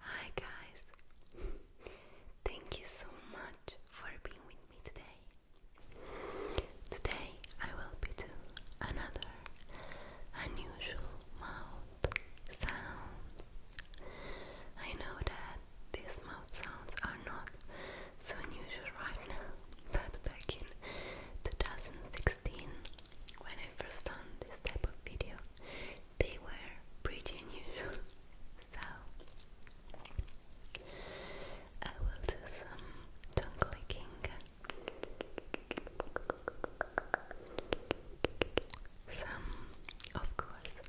Hi guys. Thank you so much for being with me today. Today I will be doing another unusual mouth sound. I know that these mouth sounds are not so unusual right now, but back in 2016, when I first done this type of video, they were pretty unusual. So I will do some tongue clicking. Some, of course,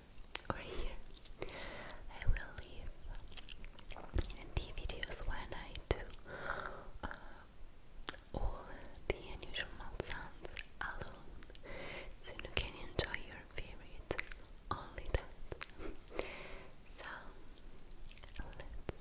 here or here. I will leave the videos when I do uh, all the unusual mouth sounds alone, so you can enjoy your favorite only that. so let's begin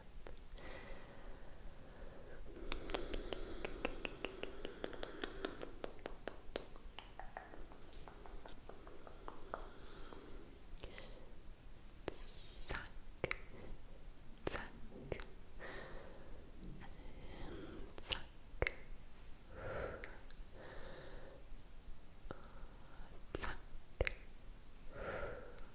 Zack, zack, and zack. Zack,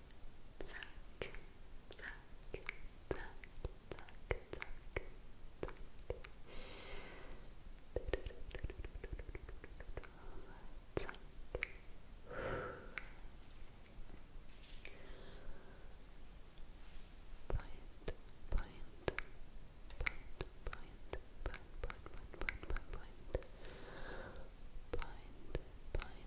Zack, zack, zack, zack, zack, zack. Point, point, point, point, point, point, point, point, point, point, point, point, point,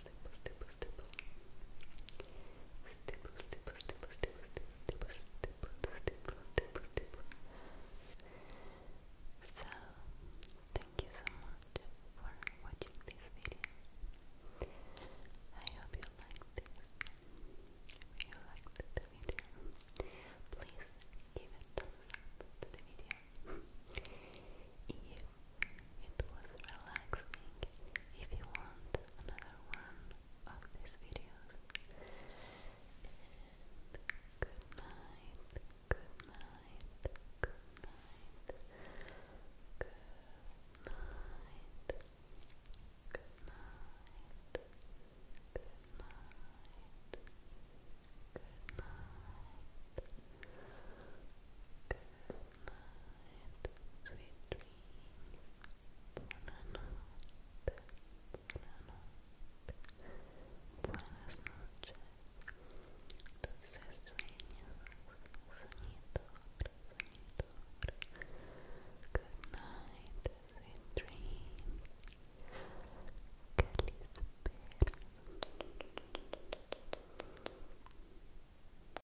So, thank you so much for watching this video. I hope you liked it. If you liked the video, please give a thumbs up to the video. If it was relaxing. If you want another one of these videos. good night, good night, good night, good night, good night. Good night. Good night night, sweet dreams. Buonanotte, buonanotte, buenas noches. Good night, sweet dreams. Que